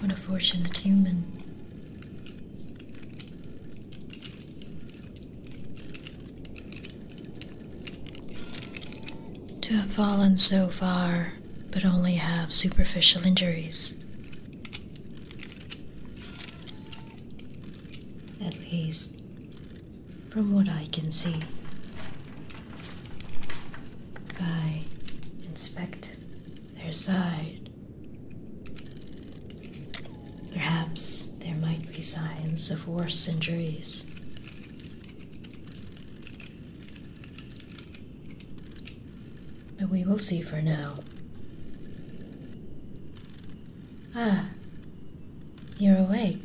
What a fortunate human. To have fallen so far, but only have superficial injuries. At least, from what I can see. I inspect their side, perhaps there might be signs of worse injuries. But we will see for now. Ah, you're awake.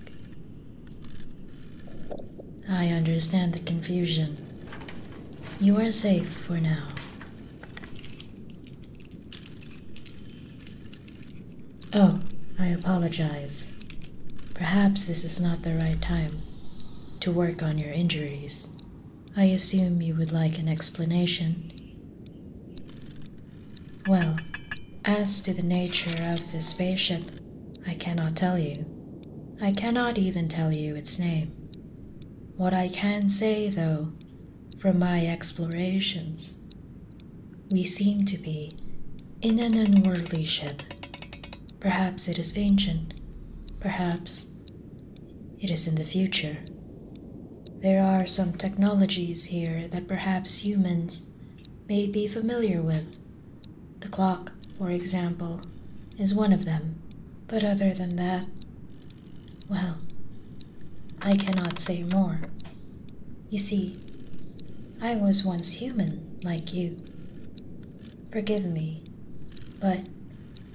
I understand the confusion. You are safe for now. Oh, I apologize. Perhaps this is not the right time to work on your injuries. I assume you would like an explanation. Well, as to the nature of the spaceship, I cannot tell you. I cannot even tell you its name. What I can say, though, from my explorations, we seem to be in an unworldly ship. Perhaps it is ancient, perhaps it is in the future. There are some technologies here that perhaps humans may be familiar with. The clock, for example, is one of them. But other than that, well, I cannot say more. You see, I was once human like you. Forgive me, but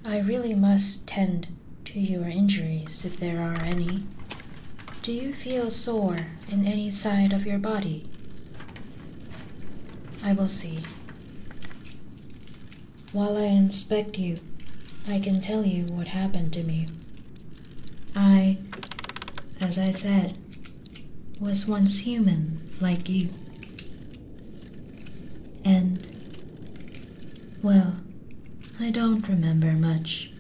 I really must tend to your injuries if there are any. Do you feel sore in any side of your body? I will see. While I inspect you, I can tell you what happened to me. I, as I said, was once human like you. And, well, I don't remember much,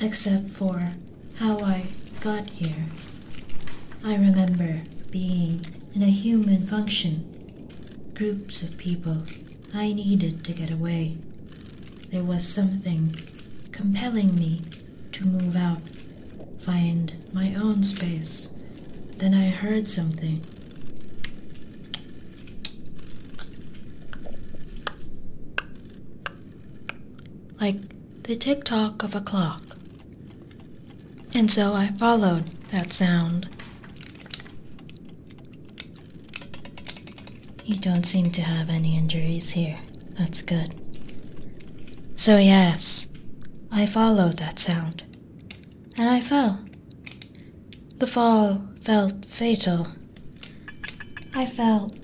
except for how I got here. I remember being in a human function, groups of people. I needed to get away. There was something compelling me to move out, find my own space. Then I heard something. Like the tick tock of a clock. And so I followed that sound. You don't seem to have any injuries here. That's good. So, yes, I followed that sound. And I fell. The fall felt fatal. I felt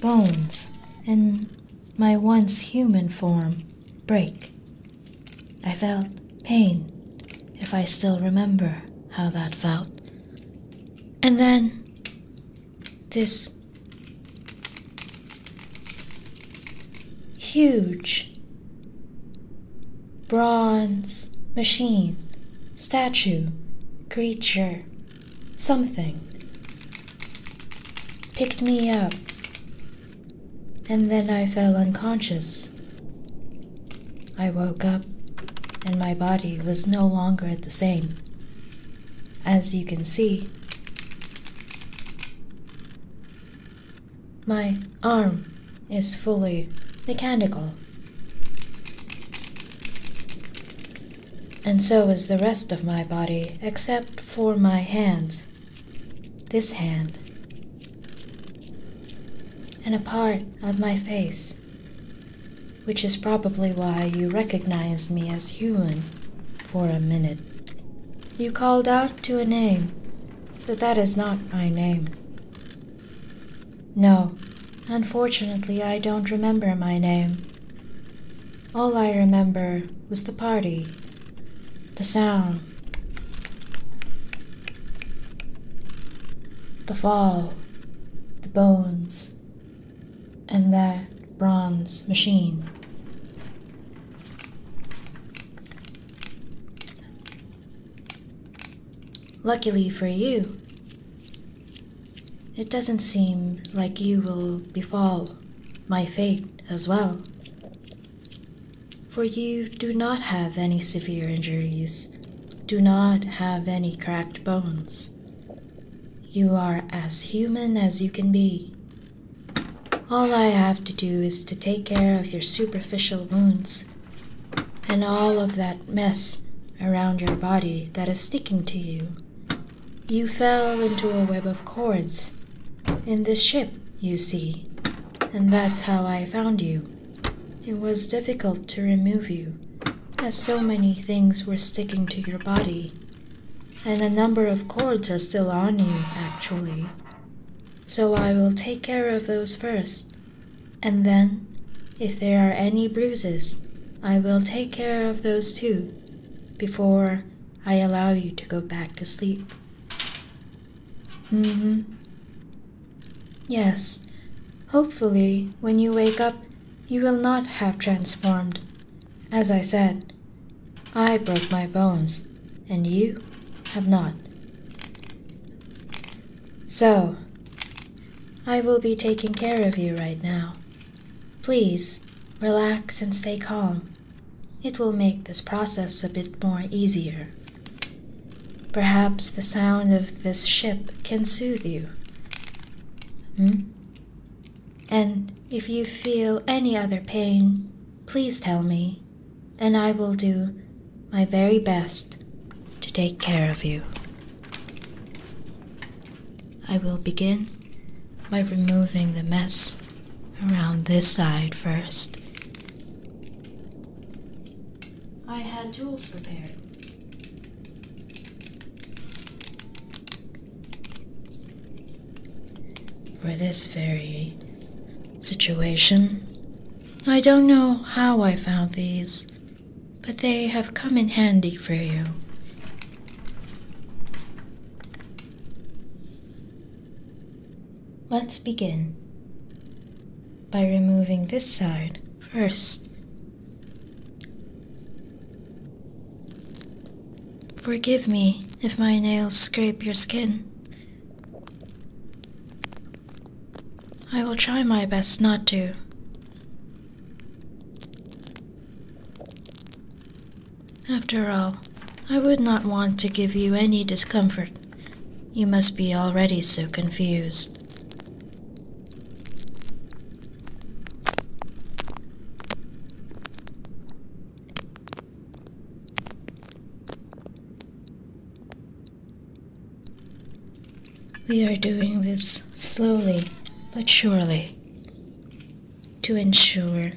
bones in my once human form break. I felt pain, if I still remember how that felt. And then this huge bronze, machine, statue, creature, something. Picked me up, and then I fell unconscious. I woke up, and my body was no longer the same. As you can see, my arm is fully mechanical. And so is the rest of my body, except for my hands. This hand. And a part of my face. Which is probably why you recognized me as human for a minute. You called out to a name, but that is not my name. No, unfortunately, I don't remember my name. All I remember was the party, the sound, the fall, the bones, and that bronze machine. Luckily for you, it doesn't seem like you will befall my fate as well, for you do not have any severe injuries, do not have any cracked bones. You are as human as you can be. All I have to do is to take care of your superficial wounds and all of that mess around your body that is sticking to you. You fell into a web of cords in this ship, you see, and that's how I found you. It was difficult to remove you, as so many things were sticking to your body, and a number of cords are still on you, actually. So I will take care of those first, and then, if there are any bruises, I will take care of those too before I allow you to go back to sleep. hmm. Yes, hopefully, when you wake up, you will not have transformed. As I said, I broke my bones, and you have not. So, I will be taking care of you right now. Please, relax and stay calm. It will make this process a bit more easier. Perhaps the sound of this ship can soothe you. Hmm? And if you feel any other pain, please tell me, and I will do my very best to take care of you. I will begin by removing the mess around this side first. I had tools prepared. For this very situation, I don't know how I found these, but they have come in handy for you. Let's begin by removing this side first. Forgive me if my nails scrape your skin. I will try my best not to. After all, I would not want to give you any discomfort. You must be already so confused. We are doing this slowly but surely to ensure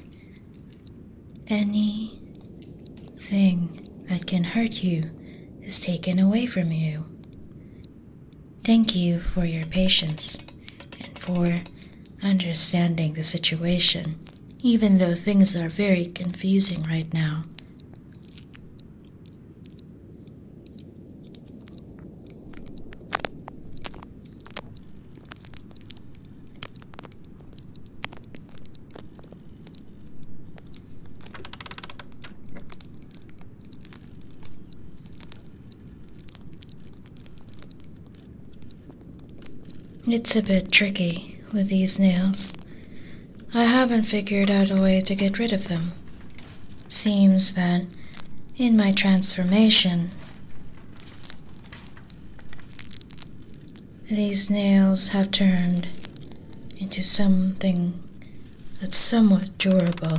any thing that can hurt you is taken away from you. Thank you for your patience and for understanding the situation, even though things are very confusing right now. It's a bit tricky with these nails I haven't figured out a way to get rid of them. Seems that, in my transformation, these nails have turned into something that's somewhat durable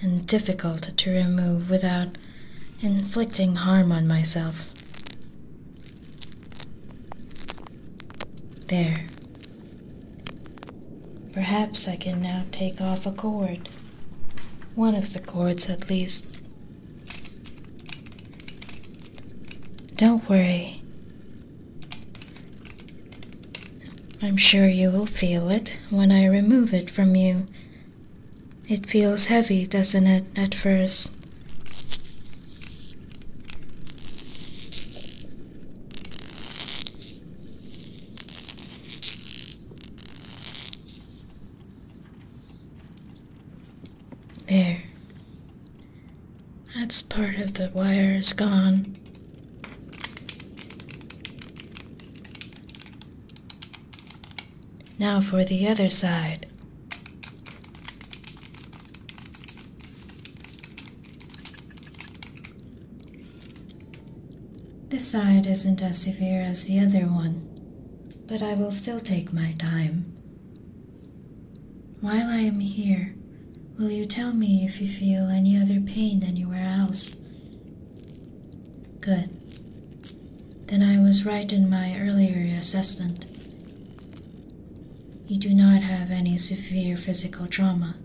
and difficult to remove without inflicting harm on myself. There. Perhaps I can now take off a cord. One of the cords, at least. Don't worry. I'm sure you will feel it when I remove it from you. It feels heavy, doesn't it, at first? There. That's part of the wire is gone. Now for the other side. This side isn't as severe as the other one, but I will still take my time. While I am here, will you tell me if you feel any other pain anywhere else? Good. Then I was right in my earlier assessment. You do not have any severe physical trauma.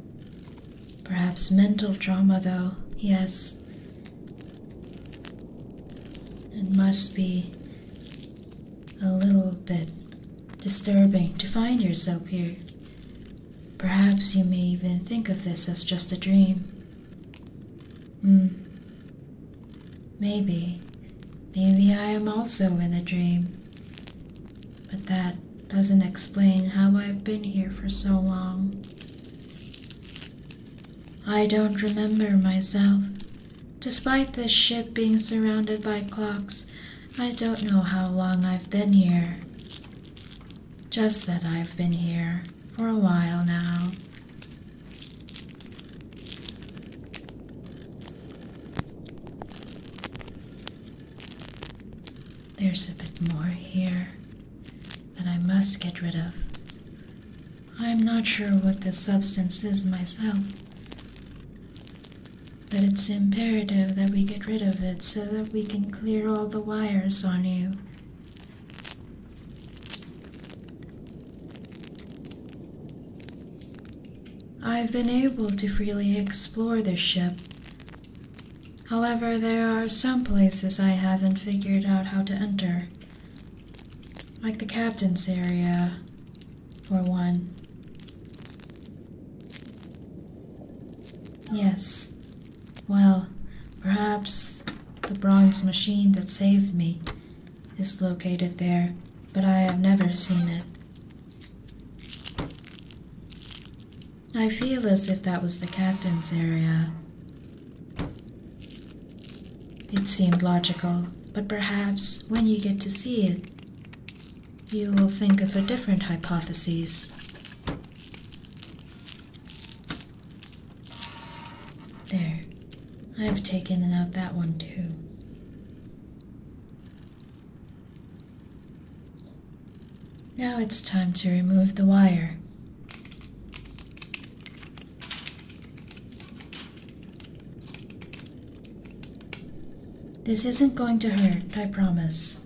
Perhaps mental trauma, though, yes. It must be a little bit disturbing to find yourself here. Perhaps you may even think of this as just a dream. Hmm. Maybe. Maybe I am also in a dream. But that doesn't explain how I've been here for so long. I don't remember myself. Despite the ship being surrounded by clocks, I don't know how long I've been here. Just that I've been here for a while now. There's a bit more here that I must get rid of. I'm not sure what the substance is myself, but it's imperative that we get rid of it so that we can clear all the wires on you. I've been able to freely explore this ship. However, there are some places I haven't figured out how to enter. Like the captain's area, for one. Yes. Well, perhaps the bronze machine that saved me is located there, but I have never seen it. I feel as if that was the captain's area. It seemed logical, but perhaps when you get to see it, you will think of a different hypothesis. There. I've taken out that one too. Now it's time to remove the wire. This isn't going to hurt, I promise.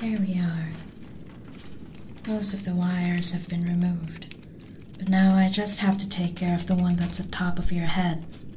There we are. Most of the wires have been removed, but now I just have to take care of the one that's at top of your head.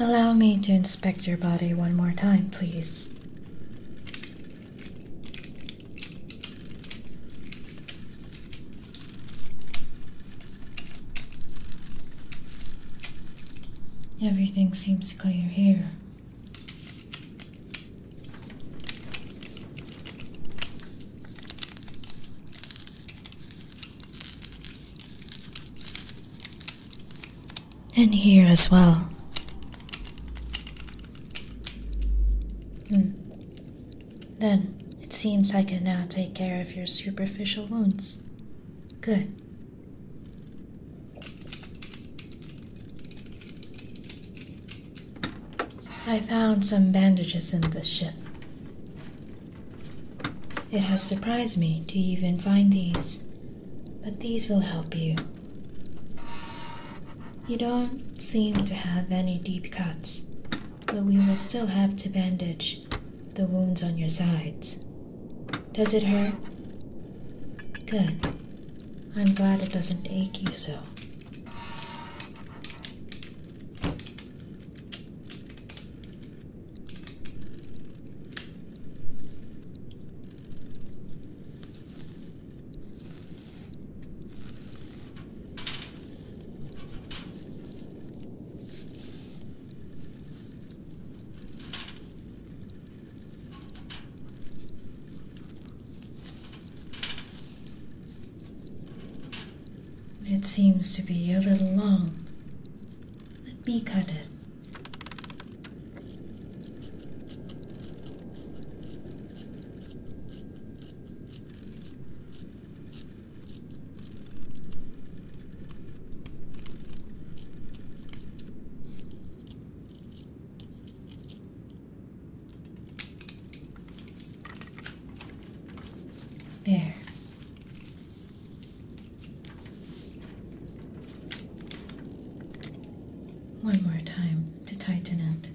Allow me to inspect your body one more time, please. Everything seems clear here and here as well. Hmm. Then it seems I can now take care of your superficial wounds. Good. I found some bandages in this ship. It has surprised me to even find these, but these will help you. You don't seem to have any deep cuts, but we will still have to bandage the wounds on your sides. Does it hurt? Good. I'm glad it doesn't ache you so. It seems to be a little long. Let me cut it. There. One more time to tighten it.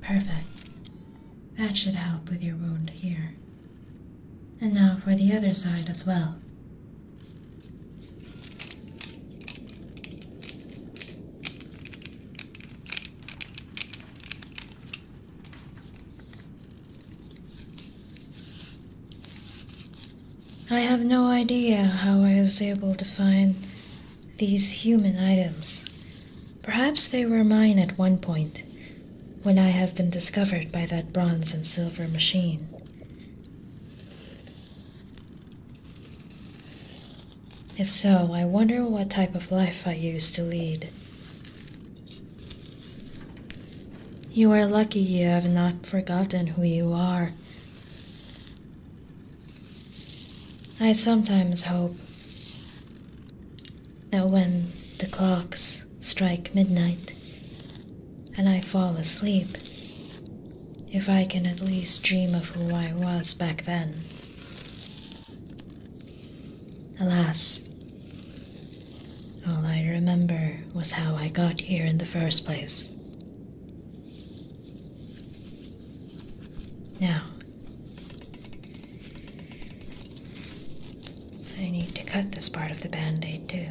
Perfect. That should help with your wound here. And now for the other side as well. I have no idea how I was able to find these human items. Perhaps they were mine at one point, when I have been discovered by that bronze and silver machine. If so, I wonder what type of life I used to lead. You are lucky you have not forgotten who you are. I sometimes hope that when the clocks strike midnight and I fall asleep, if I can at least dream of who I was back then. Alas, all I remember was how I got here in the first place. Now, I need to cut this part of the band aid too.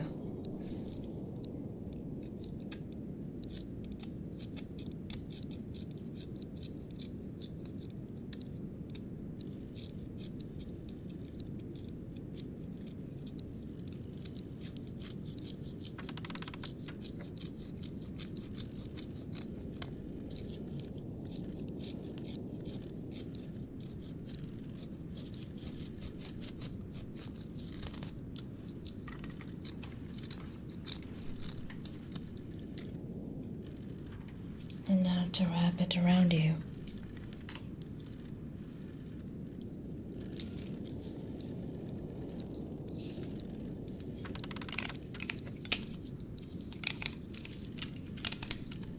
And now to wrap it around you.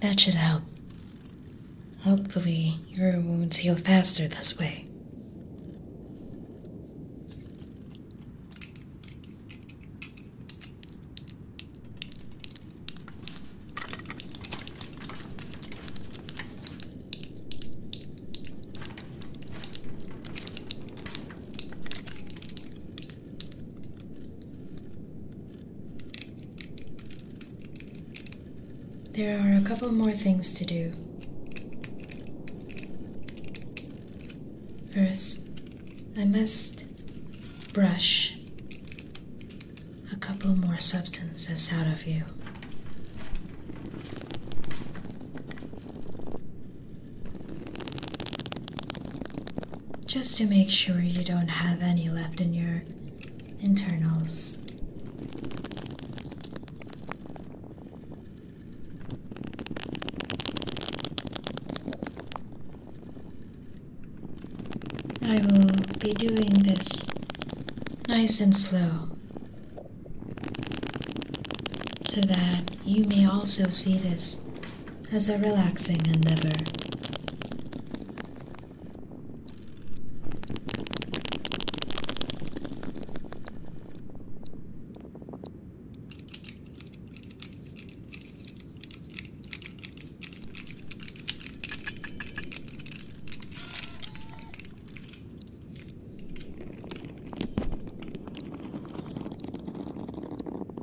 That should help. Hopefully, your wounds heal faster this way. There are a couple more things to do. First, I must brush a couple more substances out of you just to make sure you don't have any left in your internals. I will be doing this nice and slow so that you may also see this as a relaxing endeavor.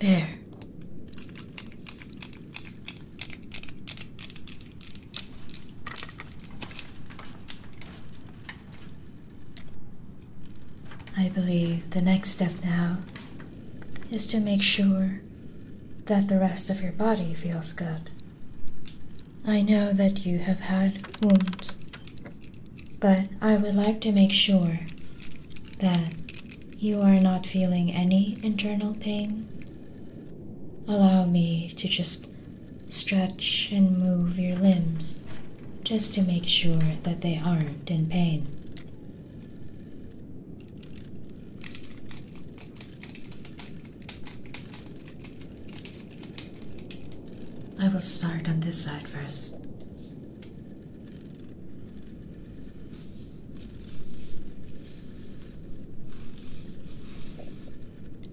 There. I believe the next step now is to make sure that the rest of your body feels good. I know that you have had wounds, but I would like to make sure that you are not feeling any internal pain. Allow me to just stretch and move your limbs just to make sure that they aren't in pain. I will start on this side first.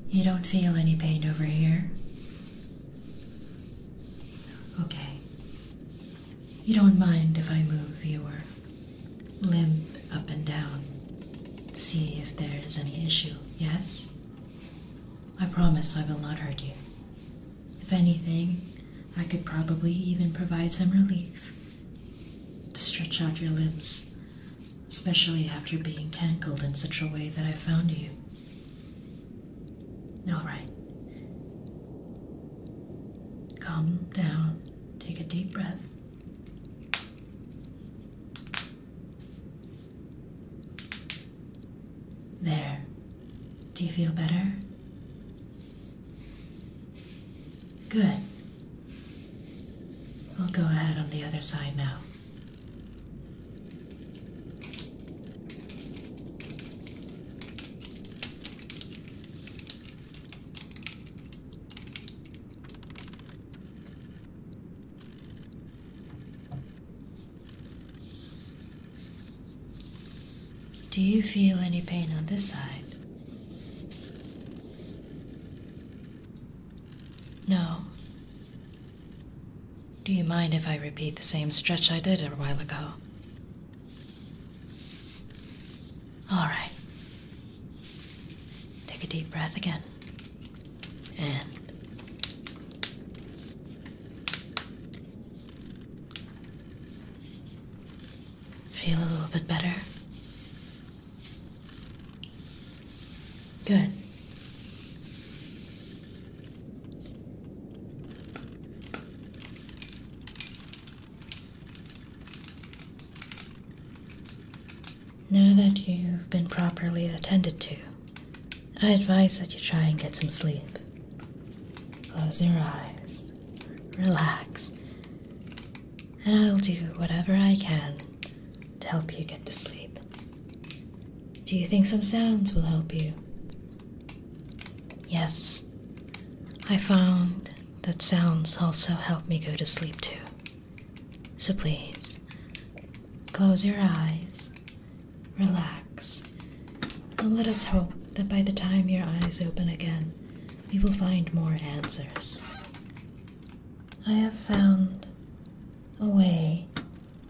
You don't feel any pain over here? Okay. You don't mind if I move, viewer limp up and down. See if there is any issue, yes? I promise I will not hurt you. If anything, I could probably even provide some relief. To stretch out your limbs, especially after being tangled in such a way that I found you. Alright. Calm down, take a deep breath. There. Do you feel better? Good. We'll go ahead on the other side now. Do you feel any pain on this side? No. Do you mind if I repeat the same stretch I did a while ago? All right. Take a deep breath again. And feel a little bit better. Good. Now that you've been properly attended to, I advise that you try and get some sleep. Close your eyes, relax, and I'll do whatever I can to help you get to sleep. Do you think some sounds will help you? Yes, I found that sounds also help me go to sleep too. So please, close your eyes, relax, and let us hope that by the time your eyes open again, we will find more answers. I have found a way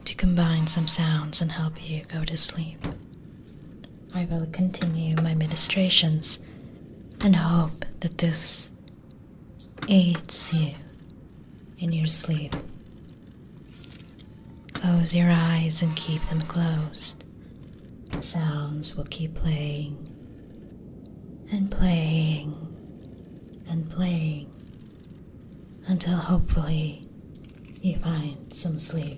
to combine some sounds and help you go to sleep. I will continue my ministrations and hope that this aids you in your sleep. Close your eyes and keep them closed. The sounds will keep playing and playing and playing until hopefully you find some sleep.